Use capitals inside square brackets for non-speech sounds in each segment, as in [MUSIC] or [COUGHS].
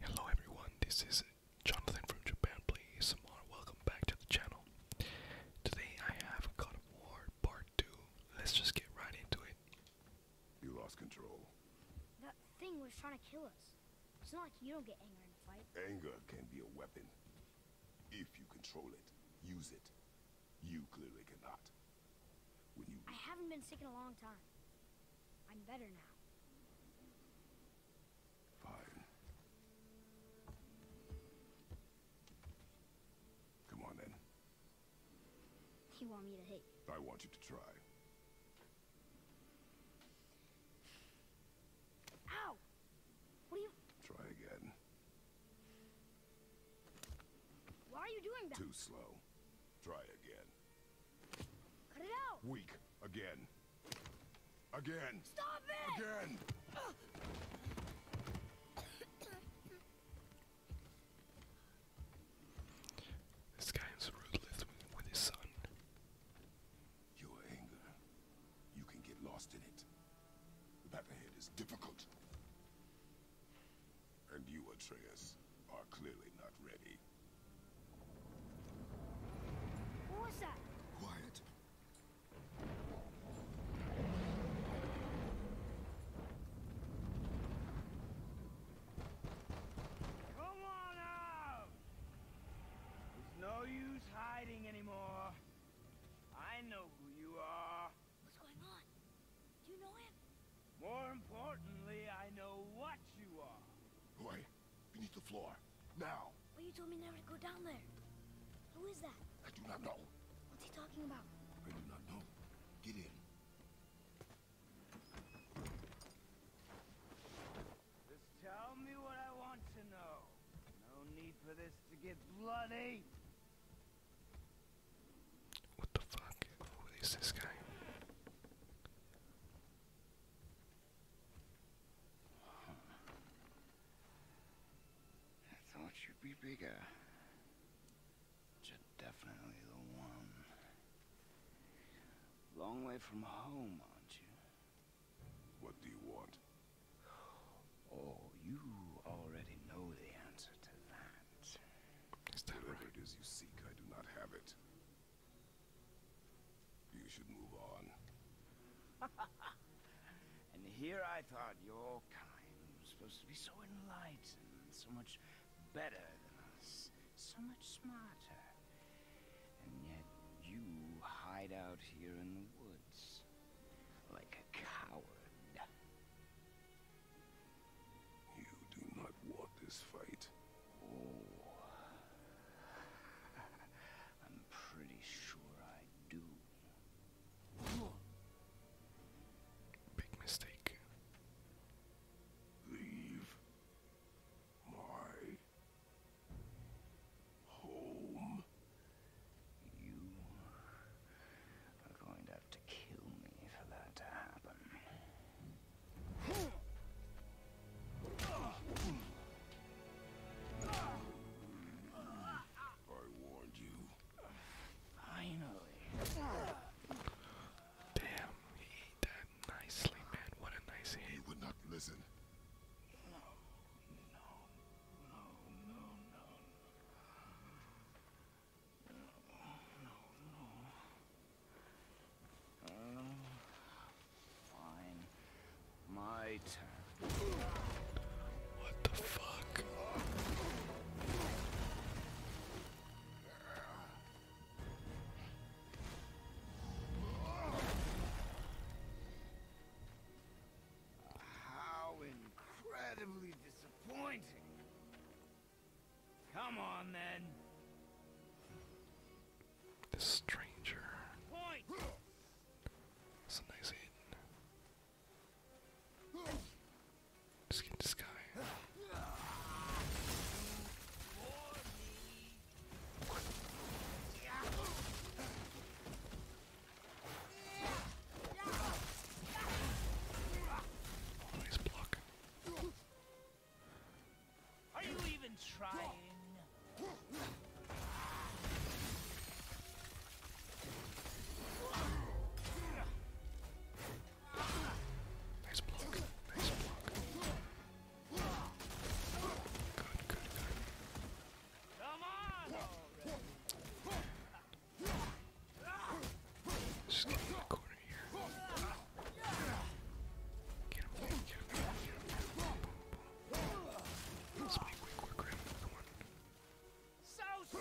Hello everyone, this is Jonathan from Japan Please More. Welcome back to the channel. Today I have God of War Part 2. Let's just get right into it. You lost control. That thing was trying to kill us. It's not like you don't get anger in fight. Anger can be a weapon. If you control it, use it. You clearly cannot. When you I haven't been sick in a long time. I'm better now. Fine. Come on then. You want me to hit? I want you to try. Ow! What are you? Try again. Why are you doing that? Too slow. Try again. Weak. Again. Again. Stop it! Again! [COUGHS] this guy is ruthless with his son. Your anger. You can get lost in it. The ahead is difficult. And you, Atreus, are clearly not ready. Who was that? Quiet. Come on out! There's no use hiding anymore. I know who you are. What's going on? Do you know him? More importantly, I know what you are. Why? beneath the floor. Now. But you told me never to go down there. Who is that? I do not know. What's he talking about? I do not know. Get in. Just tell me what I want to know. No need for this to get bloody. What the fuck? Who is this guy? I thought you'd be bigger. But you're definitely the one. Long way from home, aren't you? What do you want? Oh, you already know the answer to that Whatever right? it is you seek, I do not have it. You should move on. [LAUGHS] and here I thought your kind was supposed to be so enlightened, so much better than us, so much smarter. And yet you hide out here in the woods, like a coward. You do not want this fight. I'm pretty sure I do. Big mistake. Leave my home. You are going to have to kill me for that to happen. Damn, he ate that nicely, man. What a nice hit. He would not listen. No, no, no, no, no. No, no, no. What the fuck? How incredibly disappointing. Come on then. This stranger. That's a nice hit. Just get this guy. Nice block. Are you even trying? Nice block. Nice block. Good, good, good. Come on! Just get in the corner here. Get him, get him, get him, get him, get him. Let's make quick, quick, quick, come on. So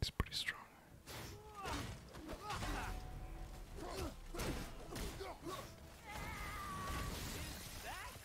it's pretty strong. Is that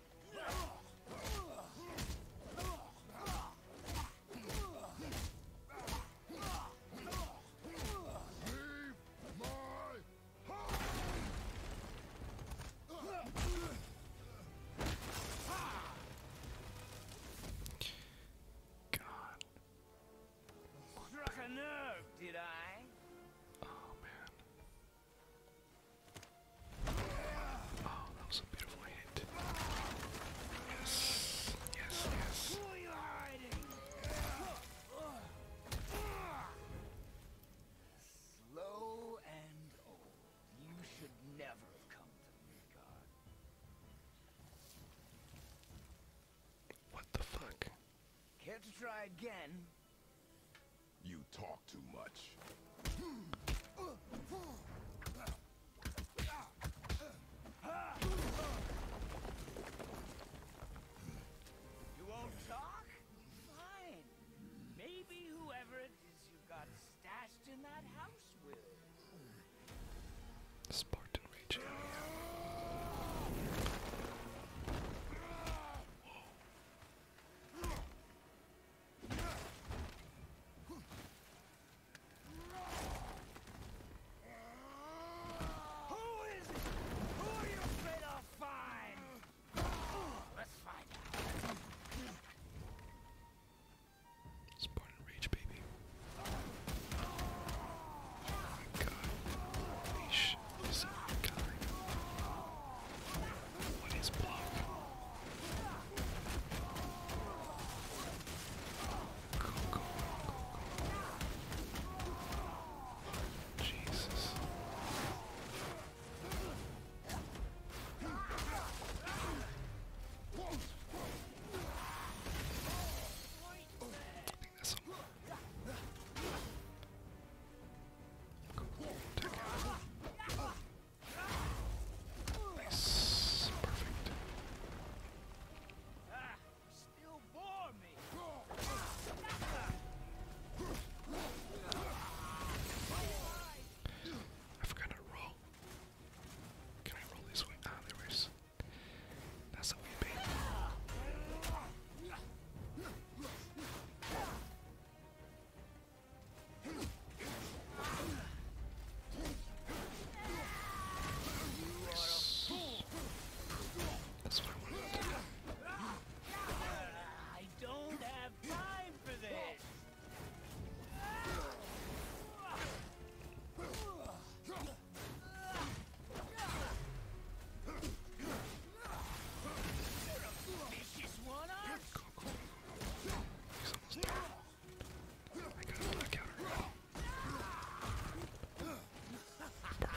God. Struck a nerve, did I? Oh man. Oh, that was a beautiful hit. Yes, yes, yes. Slow and old. You should never have come to Midgard. What the fuck? Care to try again? You talk too much. You won't talk? Fine. Maybe whoever it is you got stashed in that house will. Spartan Rage Spartan Rage, baby. Oh my god. Leash is unkind. What is block? Go, go, go, go. Jesus. I think that's all. Cool. Take it. Nice. Perfect. Still bore me. I forgot to roll. Can I roll this way? Ah, there we go. That's a wee bit. That's what I wanted to do. I don't have time for this. You're a vicious one, aren't He's almost there. I got a blackout already. Perfect.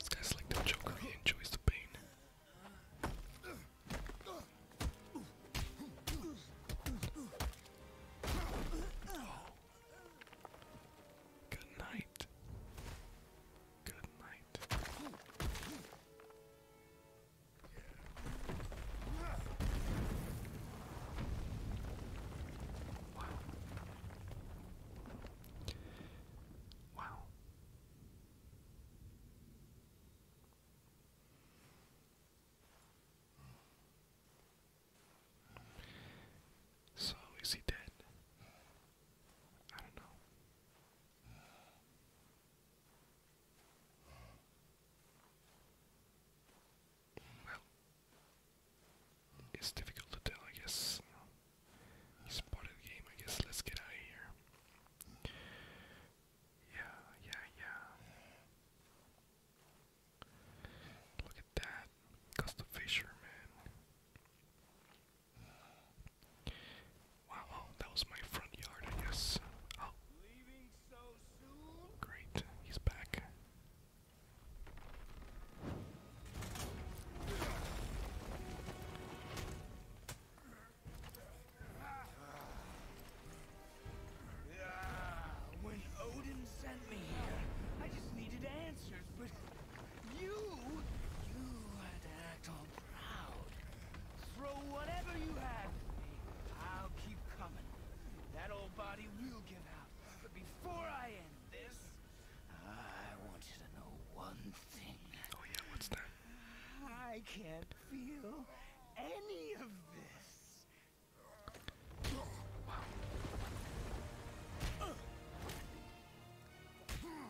This guy's like the Joker, he enjoys the pain. Oh. Good night. Good night. Wow. Wow. So is he dead? I don't know. Well, it's difficult to tell, I guess. It's part of the game, I guess. Let's get out of here. Yeah, yeah, yeah. Look at that. Costa Fisher, Wow, that was my front yard, I guess. Oh. Great, he's back. When Odin sent me here, I just needed answers, but you? You had to act proud. Throw whatever you have I'll keep coming. That old body will give out. But before I end this, I want you to know one thing. Oh yeah, what's that? I can't feel any of this. Oh, uh.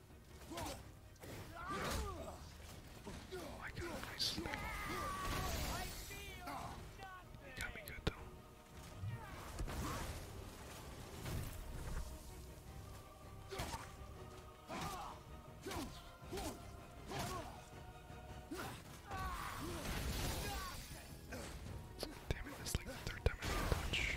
Oh my god, nice. Got me good though. Damn it, that's like the third time I touch.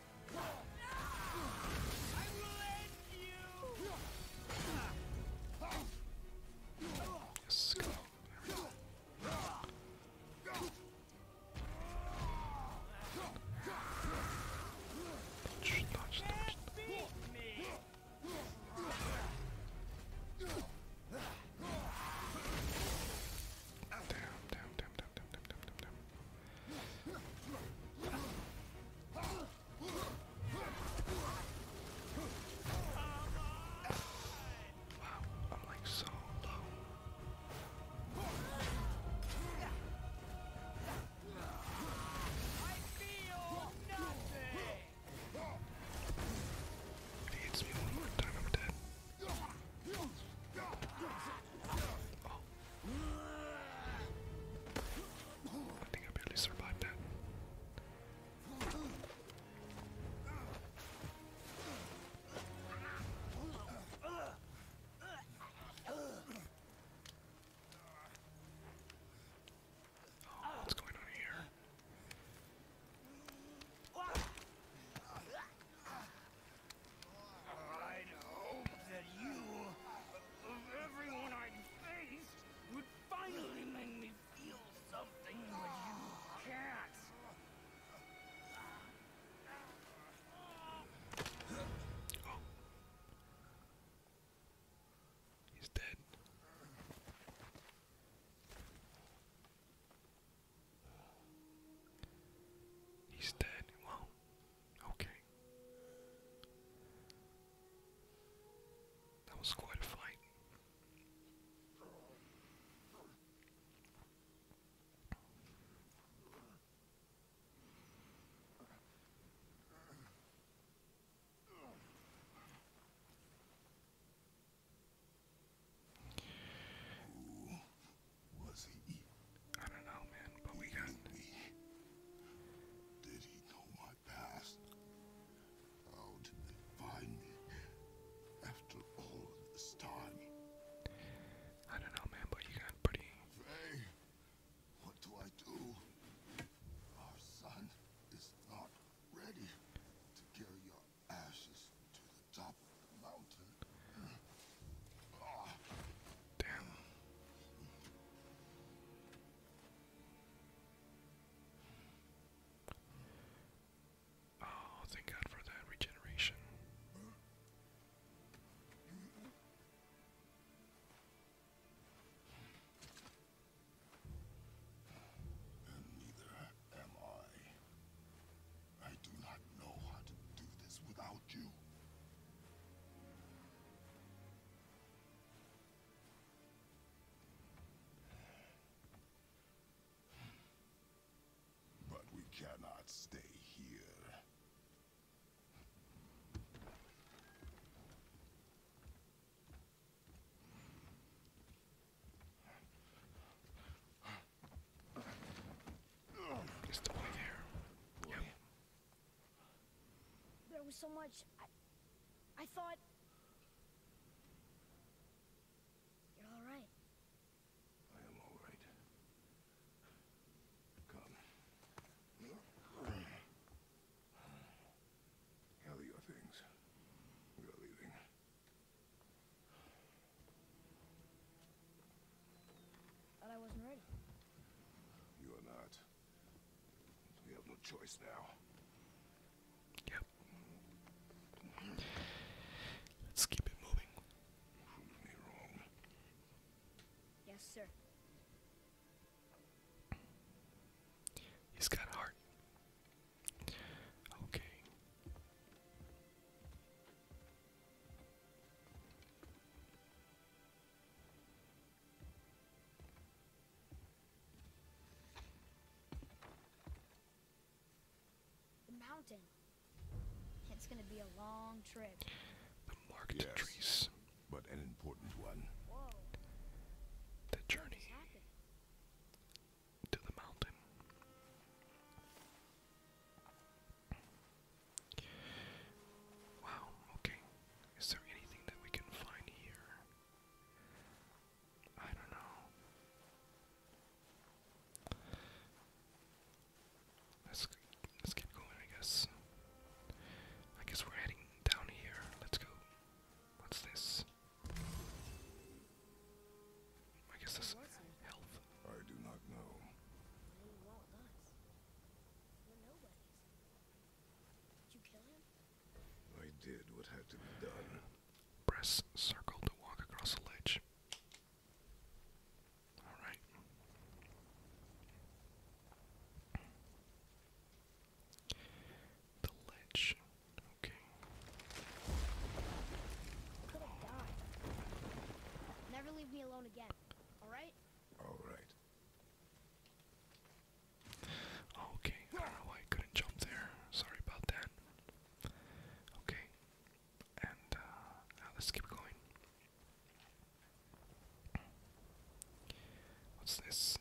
Yes, go. There we go. Dodge, dodge, dodge. Damn, damn, damn, damn, damn, damn, damn, damn, damn. Wow, I'm like so low. I feel nothing. If he hits me one more time, I'm dead. Oh. I think I barely survived that. Oh, what's going on here? I'd hope that you, of everyone I'd faced, would finally make me feel something, but you can't. He's dead. He's dead. Okay. That was quite a fight. Who was he? I don't know, man, but we got. Did he know my past? How did they find me after all this time? I don't know, man, but you got pretty. Ray, what do I do? Our son is not ready to carry your ashes to the top of the mountain. Ah. Oh, thank God for that regeneration. And neither am I. I do not know how to do this without you. But we cannot stay here. It's the there. There was so much... I... I thought... You're all right. I am all right. Come. Gather your things. We are leaving. But I wasn't ready. You are not. We have no choice now. Yep. Let's keep it moving. Yes, sir. He's got heart. Okay. The mountain. It's gonna be a long trip. The marked trees. But an important one. The journey to the mountain. Wow, okay. Is there anything that we can find here? I don't know. Let's let's get going, I guess. I guess we're heading down here. Let's go. What's this? I guess this health. I do not know. I did what had to be done. Press circle to walk across a ledge. Alright. The ledge. Okay. Never leave me alone again. Alright? Alright. Okay, I don't know why I couldn't jump there. Sorry about that. Okay, and uh, now let's keep going. What's this?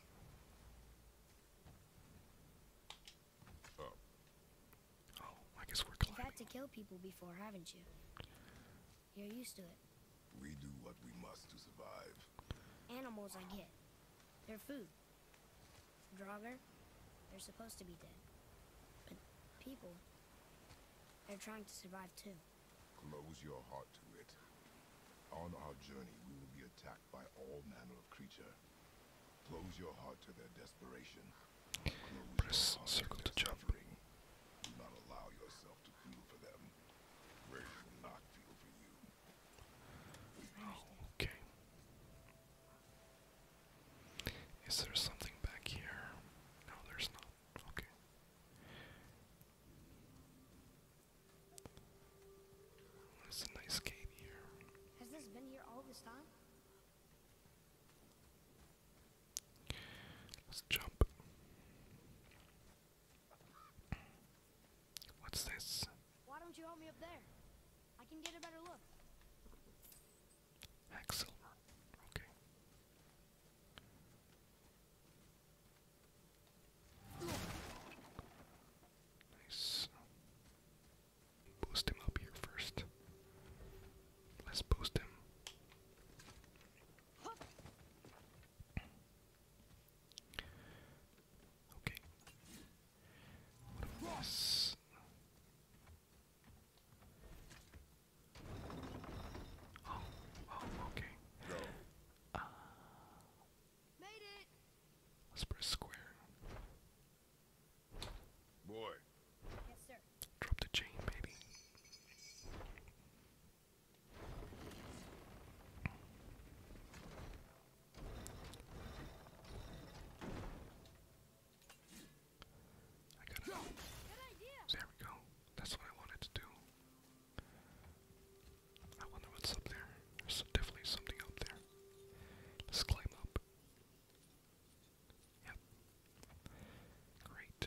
Oh, I guess we're You've had to kill people before, haven't you? You're used to it. We do what we must to survive. Animals I get. They're food. Draugr, they're supposed to be dead. But people, they're trying to survive too. Close your heart to it. On our journey, we will be attacked by all manner of creature. Close your heart to their desperation. Close Press circle to, to jump. allow yourself to feel for them okay. Is there something back here? No, there's not. Okay. There's a nice cave here. Has this been here all this time? Let's jump. What's this? Why don't you help me up there? Okay. Nice. Boost him up here first. Let's boost him. Okay. What this? Oh, oh, okay. Uh, Made it. let square. Boy. Yes, sir. Drop the chain, baby. There we go. That's what I wanted to do. I wonder what's up there. There's definitely something up there. Let's climb up. Yep. Great.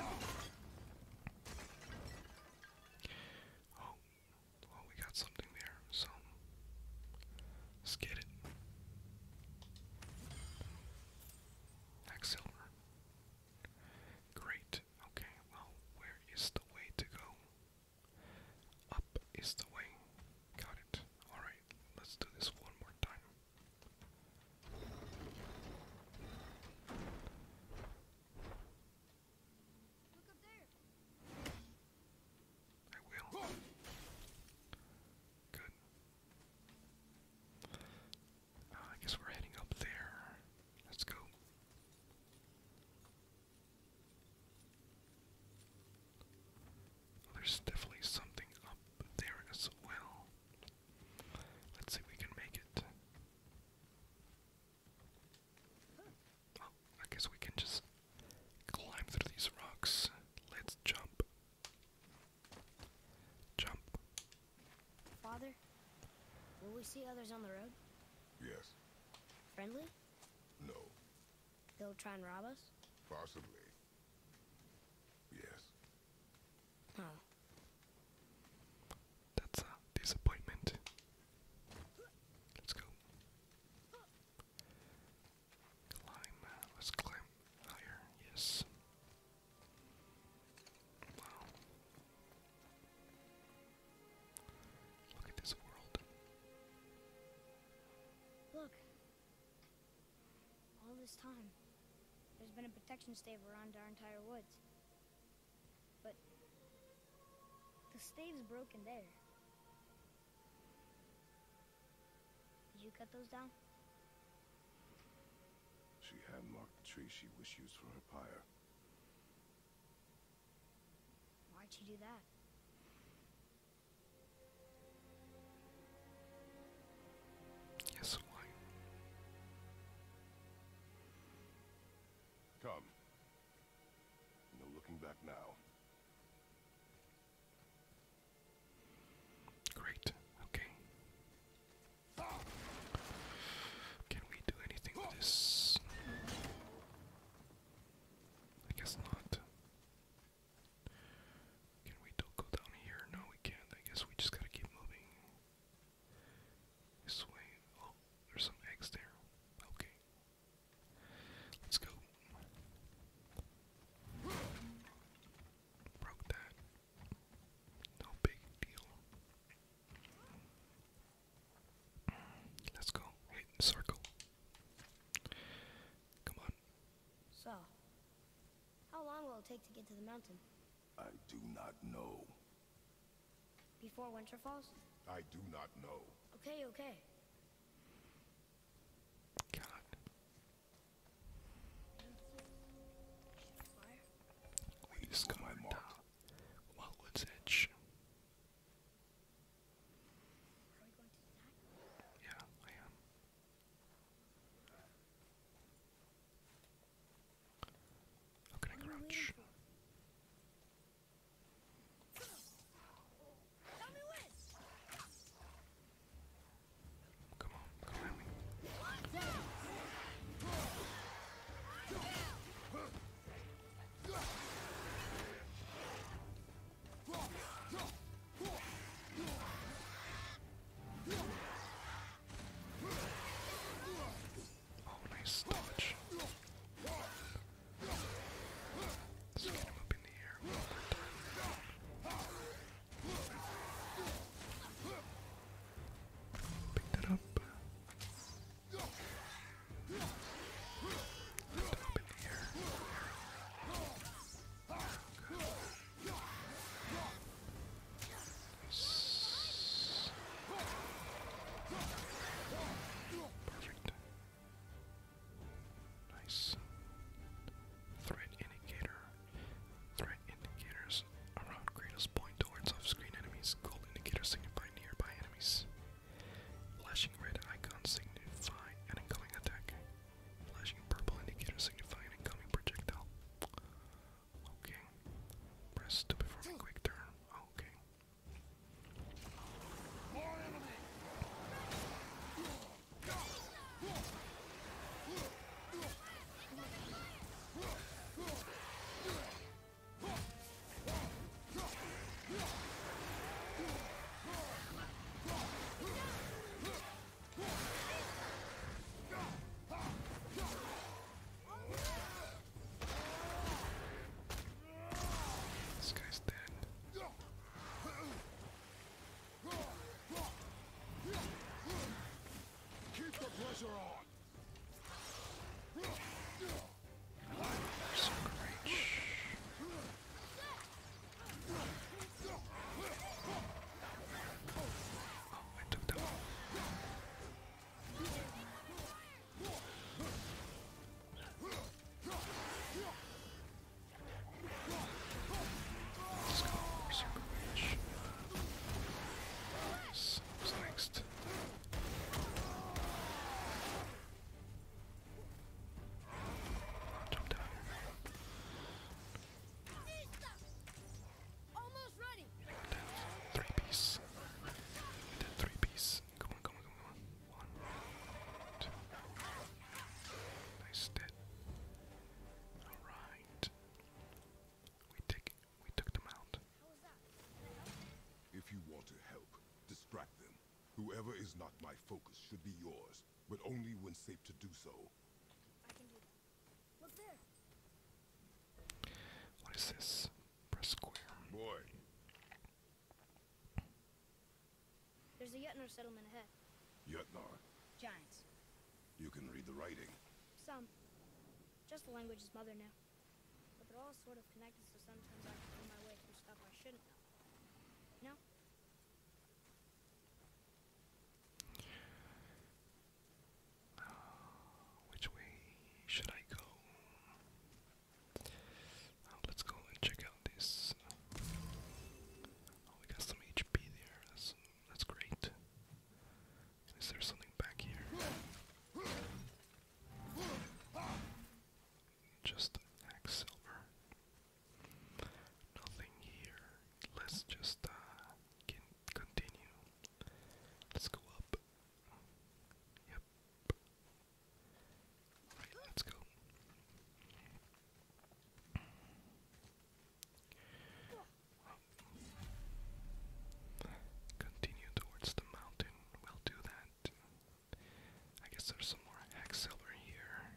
Oh, well, oh, we got something there, so let's get it. Next Great. Okay, well, where is the way to go? Up is the way. Got it. Alright, let's do this one more time. I will. Good. Uh, I guess we're heading up there. Let's go. There's definitely something up there as well. Let's see if we can make it. Oh, I guess we can just climb through these rocks. Let's jump. Jump. Father, will we see others on the road? Yes. Friendly? No. They'll try and rob us? Possibly. Yes. Oh. That's a disappointment. Let's go. Climb. Uh, let's climb higher. Yes. Wow. Look at this world. Look, all this time, there's been a protection stave around our entire woods. But the stave's broken there. Did you cut those down? She had marked the tree she wished used for her pyre. Why'd you do that? Yes, why? Come. No looking back now. Great. Okay. Can we do anything with this? I guess not. Can we still go down here? No, we can't. I guess we just gotta keep moving. This way. Oh, there's some eggs there. Okay. Let's go. Broke that. No big deal. Let's go. Hit the circle. Come on. So, how long will it take to get to the mountain? I do not know. Before winter falls? I do not know. Okay, okay. God. We discovered Mark. Wildwood's Edge. Yeah, I am. How can I crouch? Come on, come at Oh, nice dodge. Let's get him up in the air one more time. Pick that up. Up in the air. Perfect. Nice. Threat indicator. Threat indicators around Kratos point towards off screen enemies. Gold indicators signify nearby enemies. Flashing red icons signify an incoming attack. Flashing purple indicator signifying a coming projectile. Okay. Press to perform a quick turn. Okay. More enemy. This guy's dead. Keep the pressure on. There's some great Oh, I took that one. Let's go for Circle Reach. So, what's next? three piece. That's three piece. Come on, come on, come on. One, two. Nice dead. Alright. We take we took them out. If you want to help, distract them. Whoever is not my focus should be yours but only when safe to do so. What is this? Press square. Boy. There's a Yetnar settlement ahead. Yetnar? Giants. You can read the writing. Some. Just the language is mother knew. But they're all sort of connected, so sometimes I have find my way through stuff I shouldn't know. No? Uh, which way should I go? Um, let's go and check out this. Oh, we got some HP there. That's that's great. Is there something back here? Just axe silver. Nothing here. Let's just uh, continue. Let's go up. Yep. let's go. Continue towards the mountain. We'll do that. I guess there's some more hacksilver here.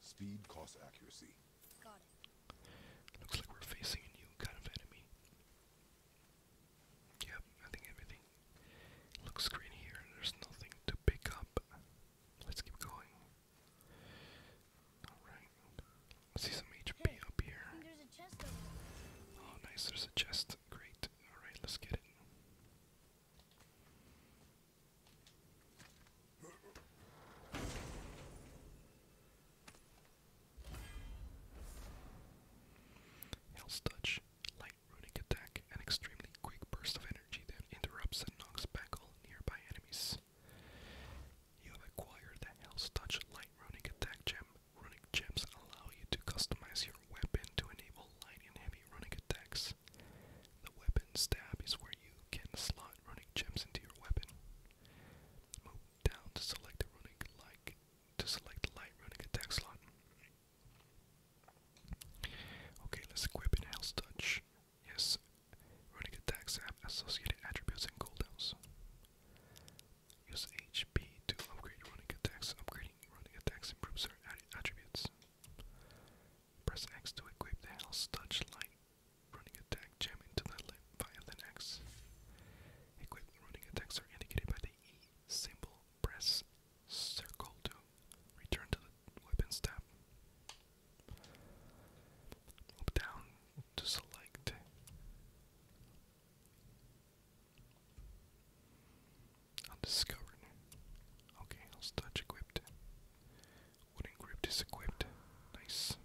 Speed costs accuracy. Looks like we're facing a new kind of enemy. Yep, I think everything looks green here. There's nothing to pick up. Let's keep going. Alright. See some HP up here. Oh nice, there's a chest. Great. Alright, let's get it. Hell's Touch, light runic attack, an extremely quick burst of energy that interrupts and knocks back all nearby enemies. You have acquired the Hell's Touch light runic attack gem. Runic gems allow you to customize your weapon to enable light and heavy runic attacks. The weapon stab is where you can slot runic gems into your weapon. Move down to select a runic like to select light runic attack slot. Okay, let's equip in Hell's Touch. Yes, runic attacks have associated attributes and cooldowns. Use HP to upgrade runic attacks. Upgrading runic attacks improves their attributes. Press X to equip the Hell's Touch light Running attack jamming to the left via the next. Equipped running attacks are indicated by the E symbol. Press circle to return to the weapons tab. Up down to select. Undiscovered. Okay, I'll touch equipped. Wooden grip is equipped. Nice.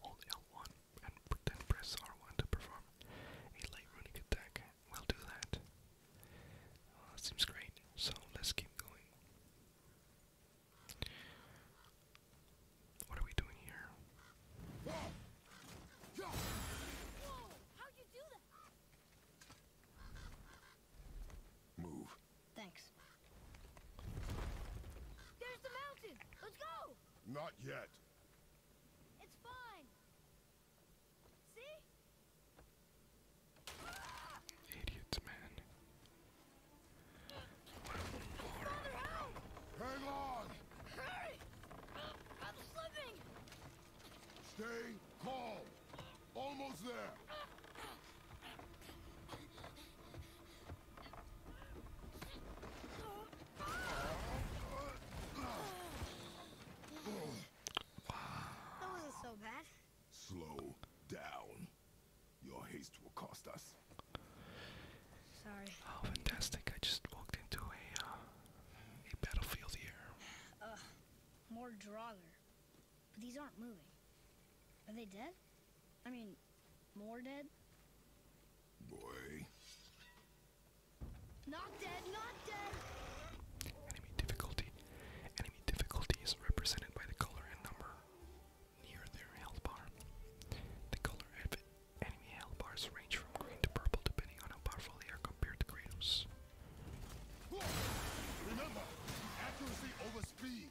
Hold L1 and then press R1 to perform a light runic attack. We'll do uh, that. seems great. So let's keep going. What are we doing here? Move. Thanks. There's the mountain! Let's go! Not yet. It's fine. See? Idiots, man. Father, help! Hang on! Hurry! I'm slipping! Stay calm! Almost there. That wasn't so bad. Slow down. Your haste will cost us. Sorry. Oh, fantastic. I just walked into a, uh, a battlefield here. Ugh. More Draugr. But these aren't moving. Are they dead? I mean, more dead? Boy. Not dead, not dead! Enemy difficulty. Enemy difficulty is represented by the color and number near their health bar. The color of enemy health bars range from green to purple depending on how powerful they are compared to Kratos. Remember, accuracy over speed.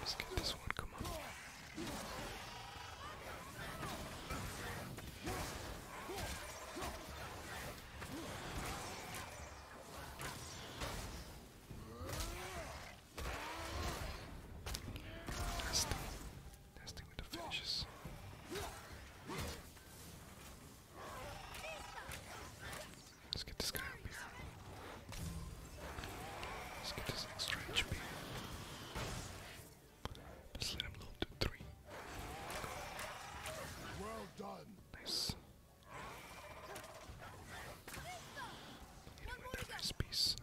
Let's get this one, come on. Nasty. Nasty with the finishes. Let's get this guy up here. Let's get this extra HP let him load to three. Well done. Nice. Hit him with that nice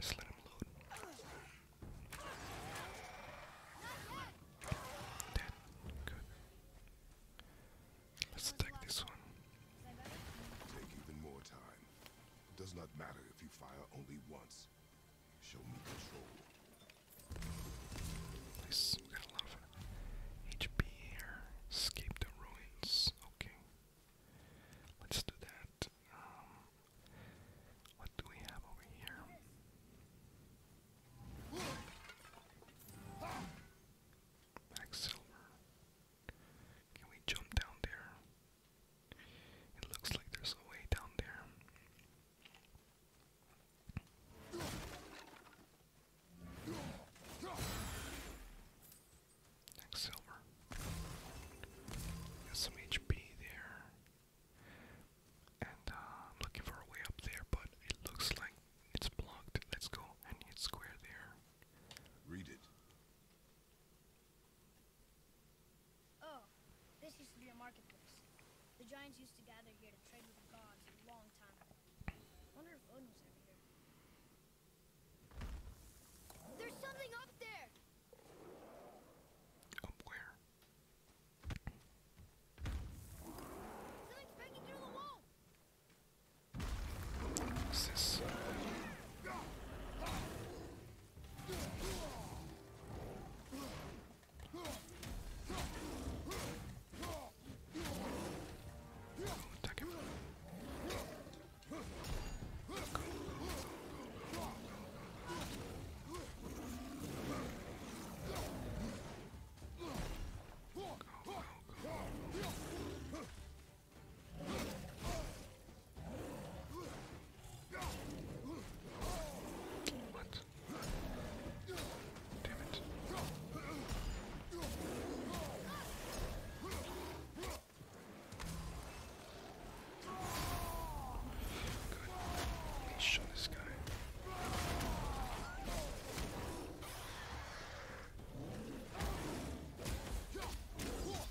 let him load. Dead. Good. Let's take this one. Take even more time. It does not matter if you fire only once. Show me control. Nice. We got a HP here. Escape the ruins. Okay. Let's do that. Um, what do we have over here? Max Silver. Can we jump down there? It looks like there's a way down there. Next silver. Got there. And uh, I'm looking for a way up there, but it looks like it's blocked. Let's go and hit square there. Read it. Oh, this used to be a marketplace. The giants used to gather here to trade with the gods a long time ago. Wonder if Odin ever here. There's something up there! Up where? Something's breaking through the wall! What's this? Attack him. Go. Go, go, go. What? Damn it. Good. Let's show this guy.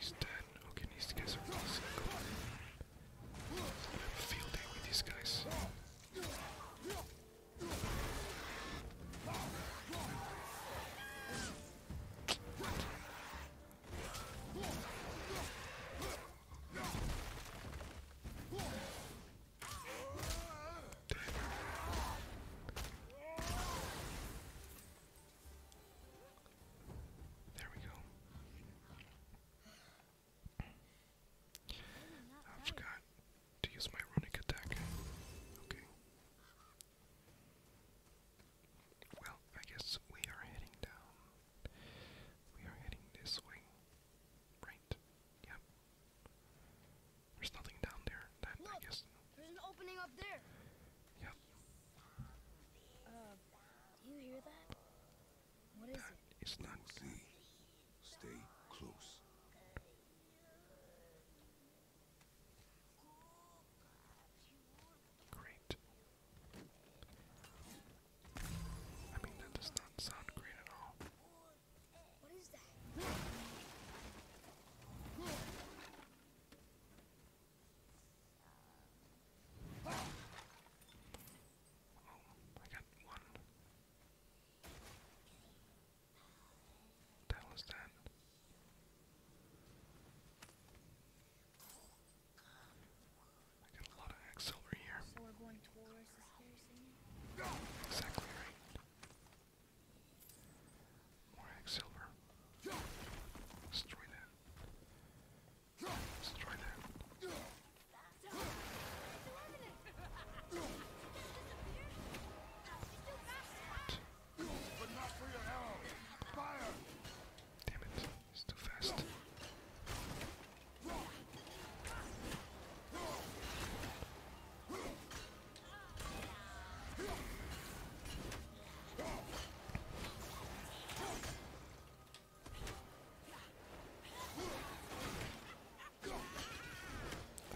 He's dead. Okay, these guys are really sick. I have a field day with these guys. There we go. I forgot to use my runic attack. Okay. Well, I guess we are heading down. We are heading this way. Right? Yep. There's nothing down there. That I guess. There's an opening up there. Yep. Uh, do you hear that? What it? It's not we Stay close. Great. I mean, that does not sound great at all. What is that? Oh, I got one. What the hell is that? I got a lot of eggs over here. So we're going towards the stairs. Exactly right. More Silver. Destroy that. Destroy that. But not for your arrow. Fire! Damn it, it's too fast. I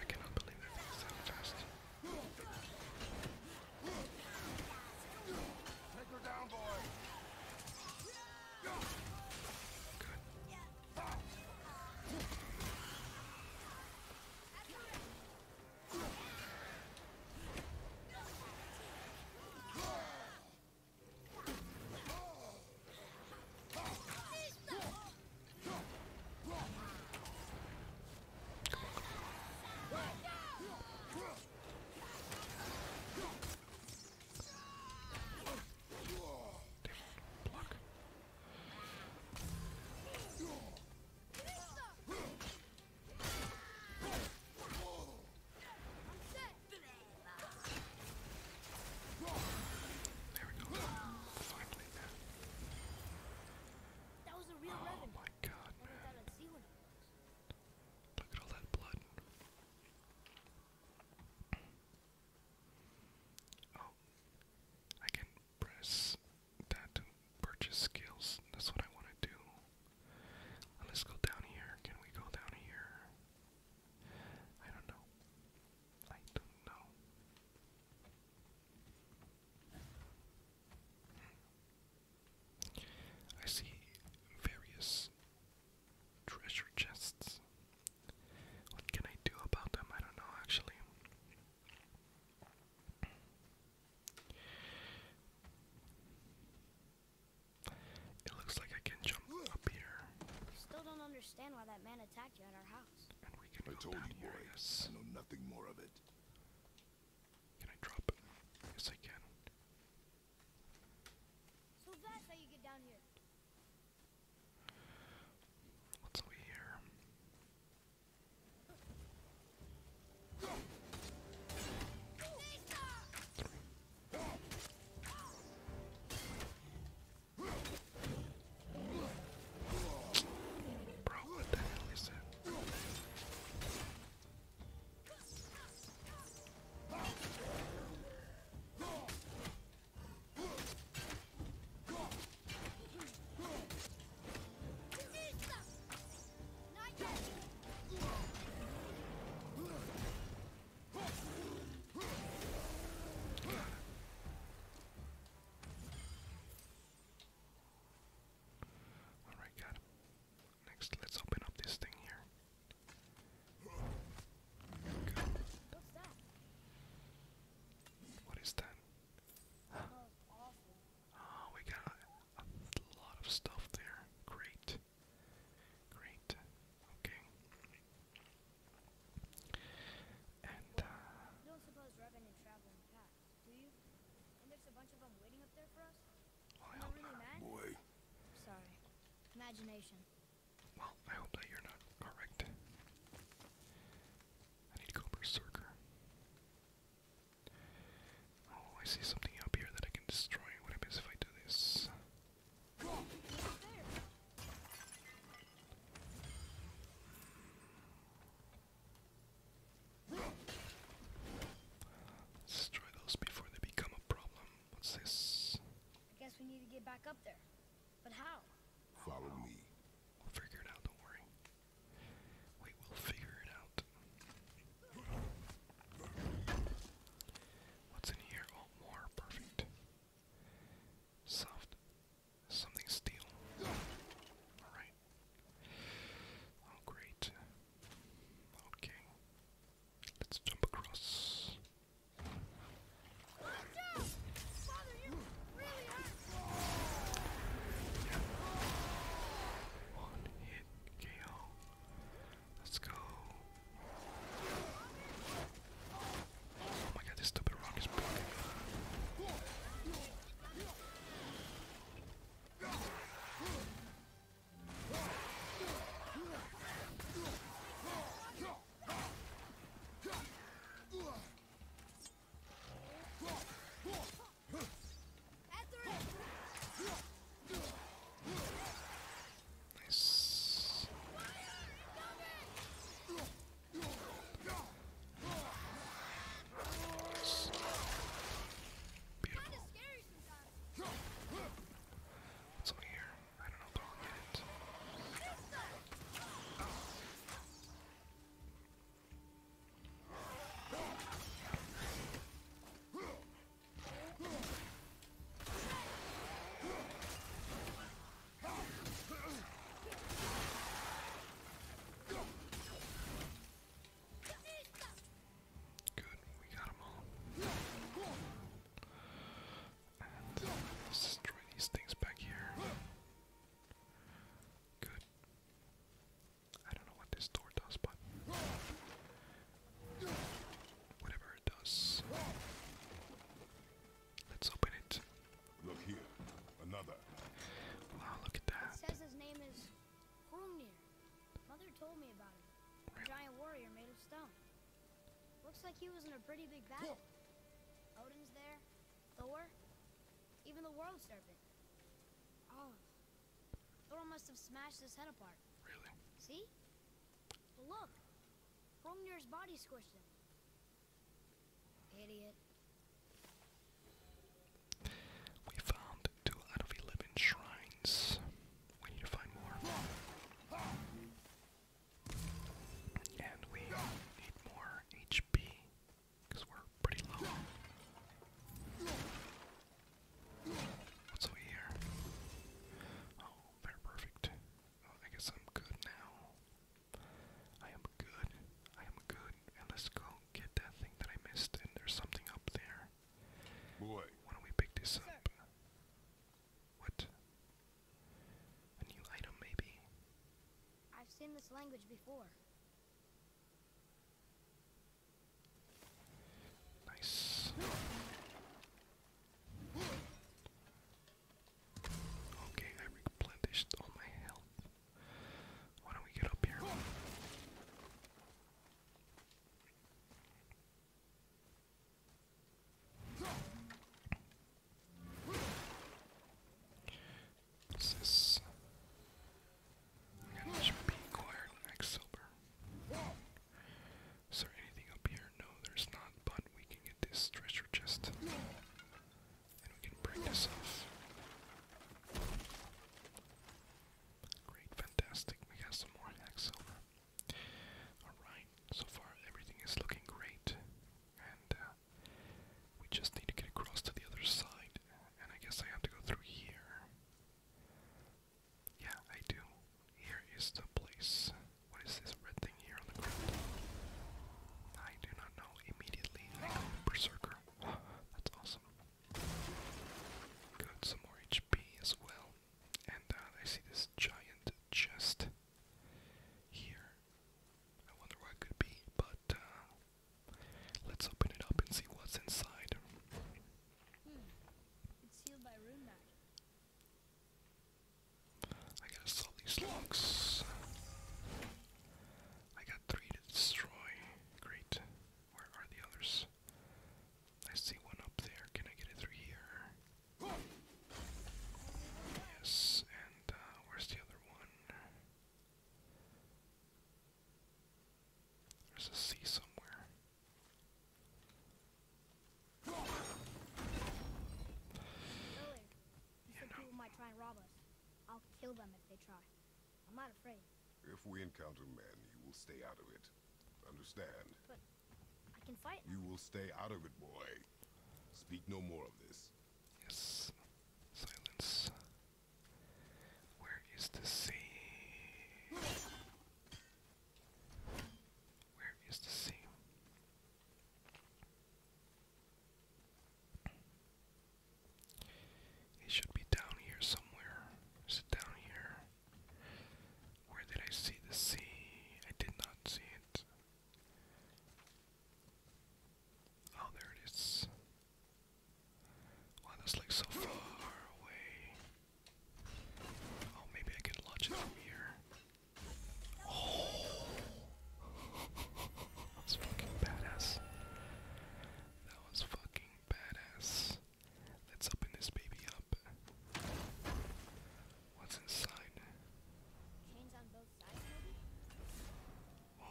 cannot believe they're being so fast. Take her down, boy. Good. Block. There we go. Finally, man. That was a real oh weapon. my god, man. Look at all that blood. Oh I can press that to purchase skills. That's what I want to do. Uh, let's go down here. Can we go down here? I don't know. I don't know. Hmm. I see various treasure chests. What can I do about them? I don't know actually. It looks like I can jump up here. Still don't understand why that man attacked you at our house. And we can I down here, I know nothing more of it. Can I drop it? Yes, I can. So that's how you get down here. What's we here? Bro, what the hell is it? Alright, got him. Next, let's open up this thing here. What's that? What is that? Oh, we got a, lot of stuff there. Great. Great. Okay. And, don't uh, suppose Revenant travel in past, do you? And there's a bunch of them waiting up there for us? Well, I really Mad? Sorry. Imagination. Well, I hope that you're not correct. I need to go berserker. Oh, I see something up here that I can destroy. What happens if I do this? Let's destroy those before they become a problem. What's this? I guess we need to get back up there. But how? Follow me. We'll figure it out, don't worry. We will figure it out. What's in here? Oh, more. Perfect. Soft. Something steel. Alright. Oh, great. Okay. Let's jump across. One hit KO. Let's go. Oh my god, this stupid rock is broken. Nice. nice. Beautiful. What's over here? I don't know, but I'll get it. Oh. Good, we got them all. And let's destroy these things back here. Good. I don't know what this door does, but whatever it does. Let's open it. Look here. Another. Wow, look at that. says his name is Hrungnir. Mother told me about him. A giant warrior made of stone. Looks like he was in a pretty big battle. Odin's there, Thor, even the world serpent. Oh. Thor must have smashed his head apart. Really? See? look, Hrungnir's body squished Idiot. We found two out of eleven shrines. We need to find more. And we need more HP because we're pretty low. What's over here? Oh, they're perfect. I guess I'm good now. I am good. I am good. And let's go get that thing that I missed. And there's something up there. Boy. Why don't we pick this up? What? A new item, maybe? I've seen this language before. Nice. Okay, I replenished all my health. Why don't we get up here? this? I HP acquired next silver. Is there anything up here? No, there's not, but we can get this treasure chest. And we can break this off. Great, fantastic. We got some more hack silver. Alright, so far everything is looking great. And uh, we just need to get across to the other side, and I guess I have to go through here. Yeah, I do. Here is the place. What is this red thing here on the ground? I do not know. Immediately, I go Berserker. [GASPS] That's awesome. Good, some more HP as well. And uh, I see this giant chest here. I wonder what it could be, but uh, let's open it up and see what's inside. Hmm. It's sealed by runite. I gotta solve these locks. I got three to destroy. Great. Where are the others? I see one up there. Can I get it through here? Yes, and uh, where's the other one? There's a sea somewhere. Willard, you know. people might try and rob us. I'll kill them if they try. I'm not afraid. If we encounter men, you will stay out of it. Understand? But I can fight. You will stay out of it, boy. Speak no more of this. Yes. Silence. Where is the sea? Where is the sea? It should be down here somewhere. Is down here? Where did I see the sea? I did not see it. Oh, there it is. Wow, that's like so far away. Oh, maybe I can launch it from here. Oh! [LAUGHS] That fucking badass. That was fucking badass. Let's open this baby up. What's inside? Whoa.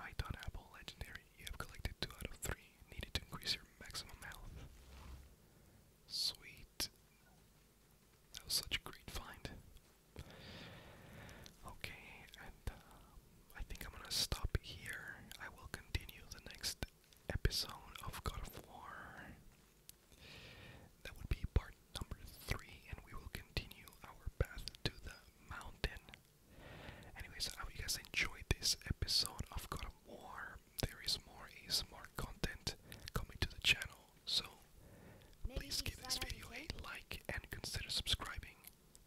Ithon Apple Legendary. You have collected two out of three needed to increase your maximum health. Sweet. That was such a great find. Okay, and um, I think I'm gonna stop here. I will continue the next episode of God War. That would be part number three, and we will continue our path to the mountain. Anyways, I hope you guys enjoyed this episode of God of War. There is more ASMR content coming to the channel, so please give this video a like and consider subscribing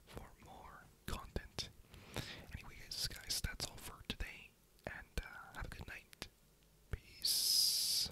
for more content. Anyways, guys, that's all for today, and uh, have a good night. Peace.